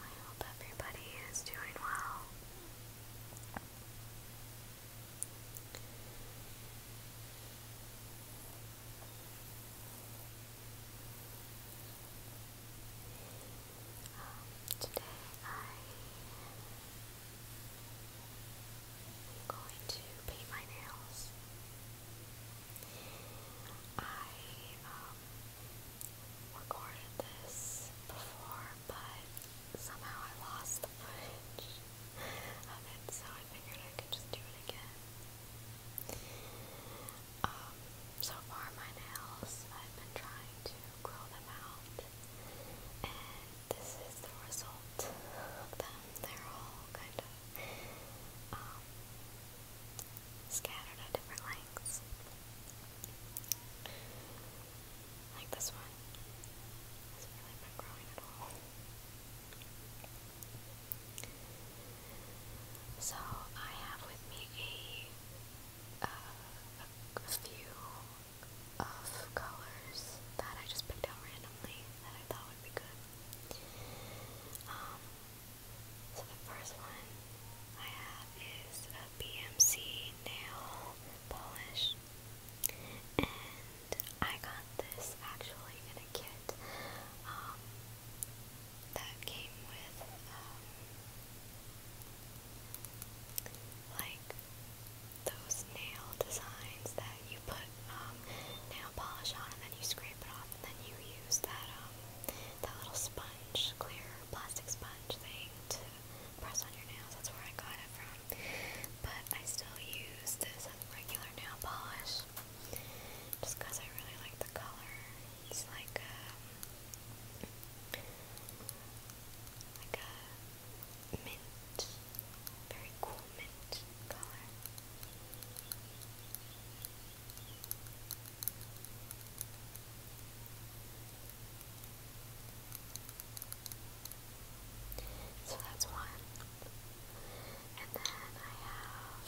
I hope everybody is doing well. Um, today I am going to paint my nails. I um, recorded this before, but somehow I lost the footage of it, so I figured I could just do it again. Um, so far my nails, I've been trying to grow them out, and this is the result of them. They're all kind of um, scattered at different lengths. Like this one. It's really been growing at all. So I have with me uh, a, few of colors that I just picked out randomly that I thought would be good. Um, so the first one I have is a nail polish, and I got this actually in a kit um, that came with um, like those nail designs that you put um, nail polish on and then you scrape it off and then you use that that little sponge, clear plastic sponge thing to press on your nails. That's where I got it from. But I still use this regular nail polish just because I really like the color. It's like a, um, like a mint, very cool mint color. So that's one. And then I have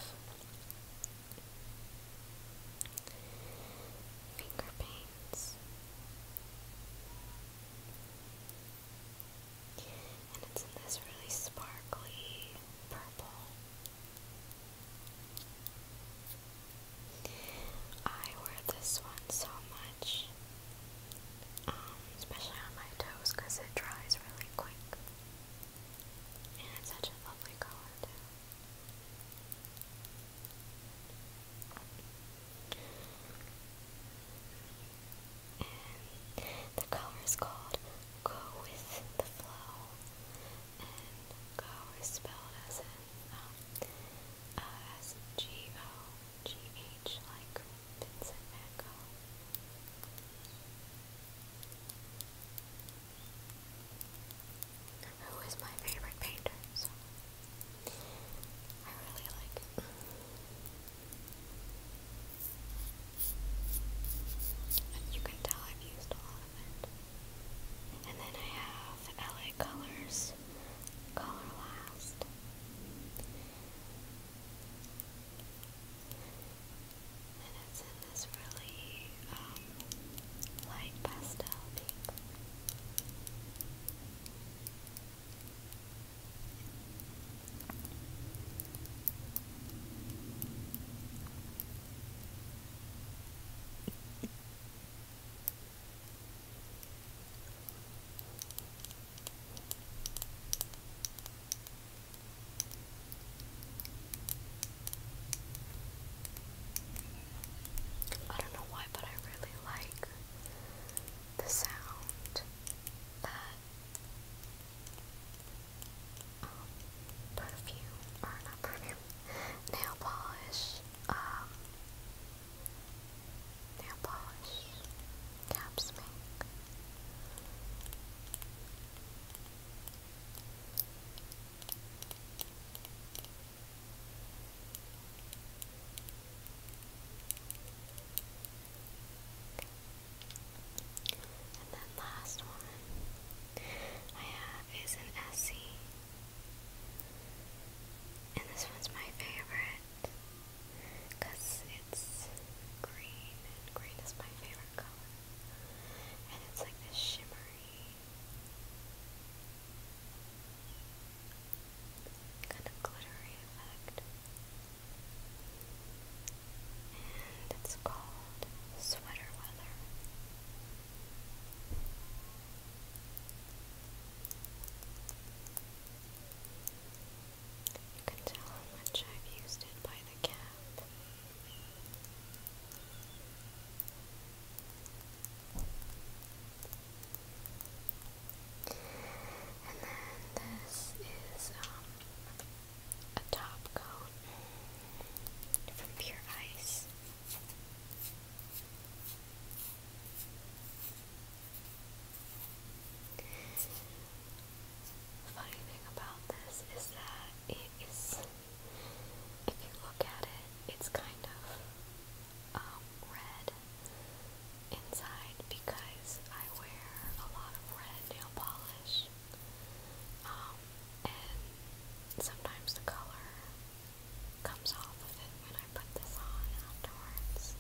finger paints. And it's this really sparkly purple. I wear this one so much especially on my toes because it dries really quick. And it's such a lovely color too. the color is called Go With The Flow. And Go is spelled as in, um, uh, like Vincent Who is my favorite painter, I really like you can tell I've used a lot of it. And then I have LA Colors Color and it's in this really um, light pastel pink. I don't know why, but I really like the sound that um, perfume, or not perfume, nail polish, um, nail polish caps make. And then last one I have is an Essie. And this one's my favorite because it's green, and green is my favorite color. And it's like this shimmery, kind of glittery effect. And it's called Sweater Weather. You can tell how much I've used it by the cap. And then this is um, a top coat from Pure Ice. Funny about this is that it is, if you look at it, it's kind of um, red inside because I wear a lot of red nail polish. Um, and sometimes the color comes off of it when I put this on afterwards.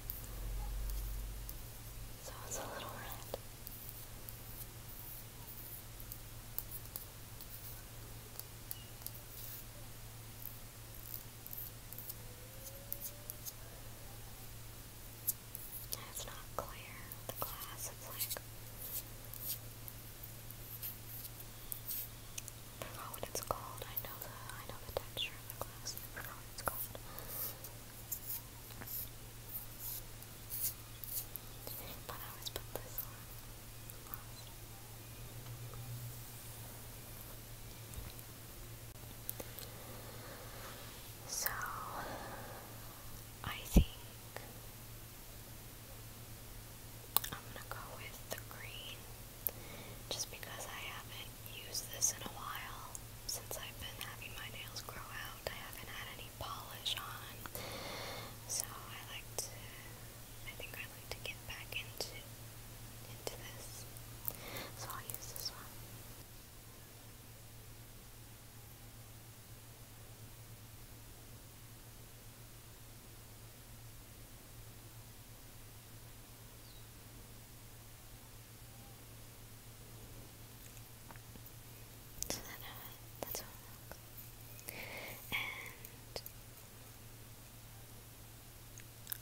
So it's a little red. It's not clear, the glass, it's like, I forgot what it's called, I know the, I know the texture of the glass, I forgot what it's called. So, I think I'm gonna go with the green just because I haven't Use this in a while. Since I've been having my nails grow out, I haven't had any polish on. So I like to, I think I like to get back into, into this. So I'll use this one. So that's all And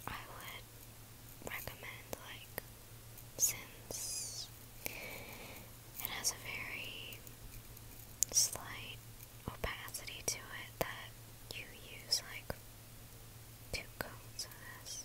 I would recommend, like, since it has a very slight opacity to it, that you use, like, two coats of this.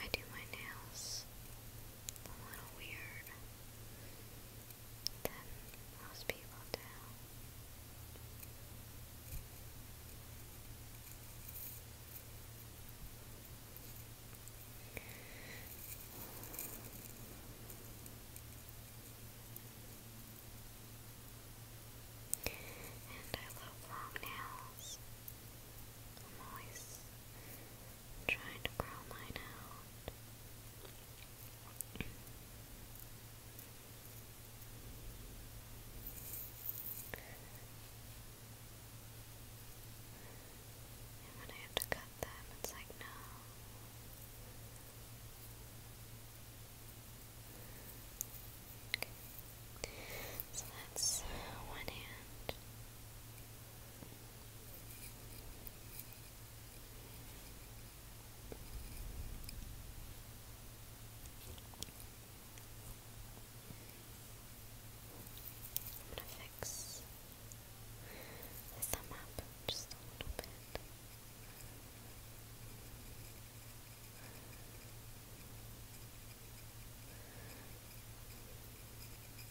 I do my nails a little weird than most people do. And I love long nails. I'm always trying to grow mine out. And when I have to cut them, it's like, no. So that's one hand. I'm gonna fix the thumb up just a little bit. Okay.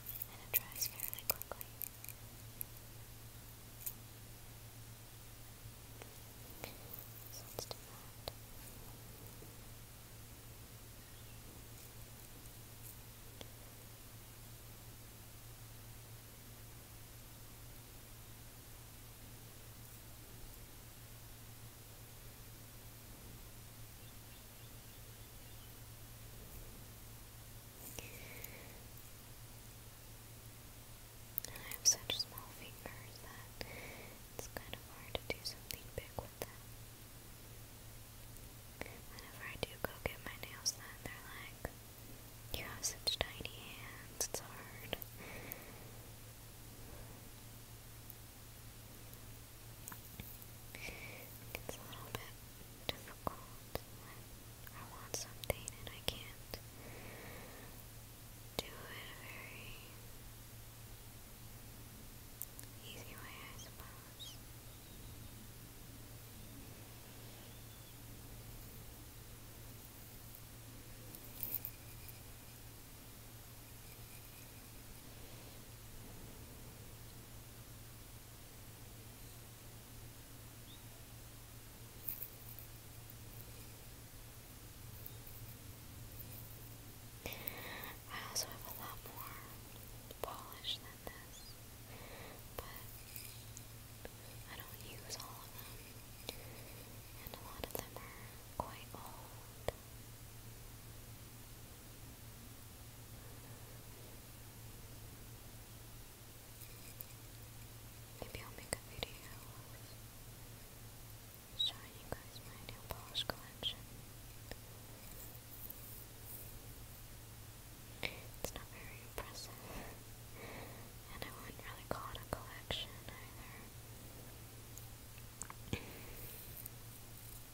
And it dries fairly quickly. So let's that. I have such small fingers that it's kind of hard to do something big with them. Whenever I do go get my nails done, they're like, you have such tiny hands, it's hard. It's a little bit difficult when I want something and I can't do it a very easy way, I suppose. I also have a lot more polish than this, but I don't use all of them, and a lot of them are quite old. Maybe I'll make a video showing you guys my nail polish collection. It's not very impressive, and I wouldn't really call it a collection either.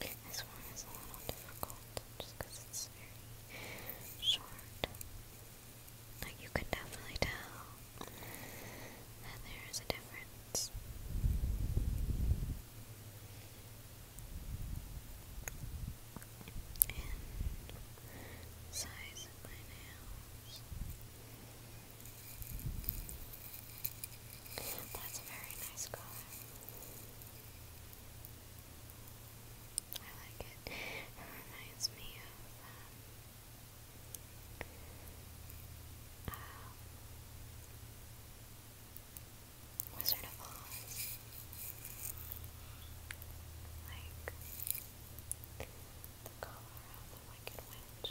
This one is a little difficult just it's very short. Like you can definitely tell that there is a difference. And size of my nails. That's a very nice color. I like it. It reminds me of um, uh, Wizard of Oz. Like the color of the Wicked Witch.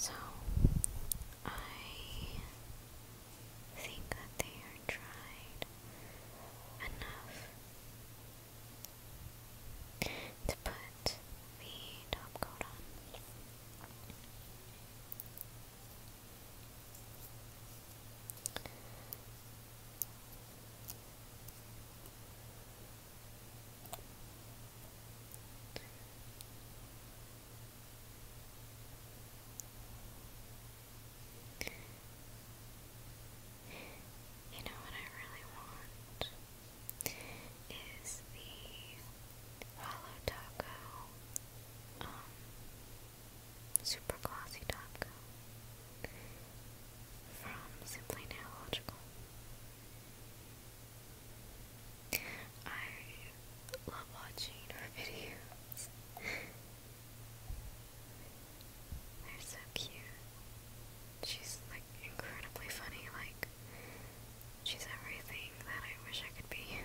So I think that they are tried enough to put the top coat on. You know what I really want? is the Hollow Taco, um, Super Glossy Taco from Simply Neological. I love watching her videos. They're so cute she's like incredibly funny, like she's everything that I wish I could be.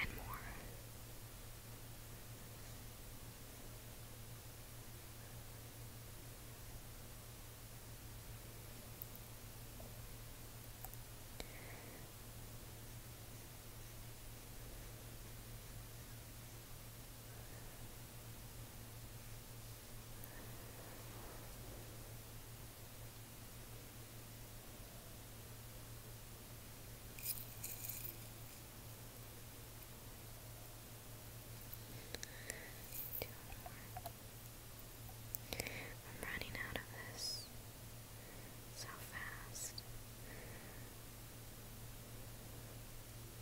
And more. Two more. I'm running out of this so fast.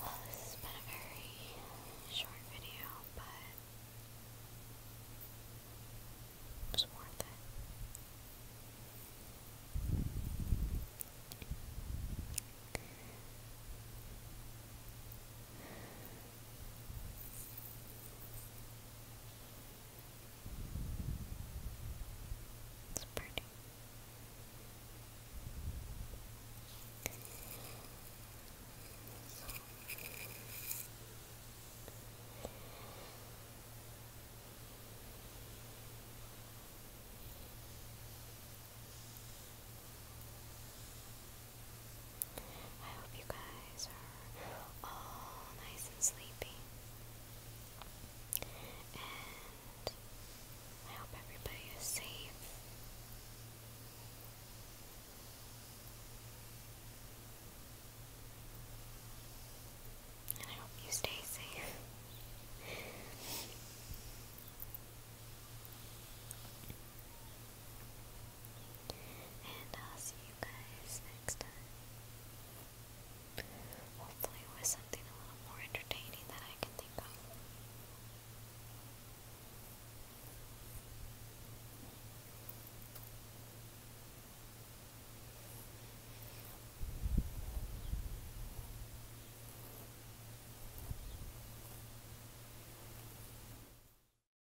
Well, this has a very short video, but it worth it. It's pretty. I hope you guys are all nice and sleepy. And I hope everybody is safe. And I hope you stay safe. And I'll see you guys next time. Hopefully, with something a little more entertaining that I can think of.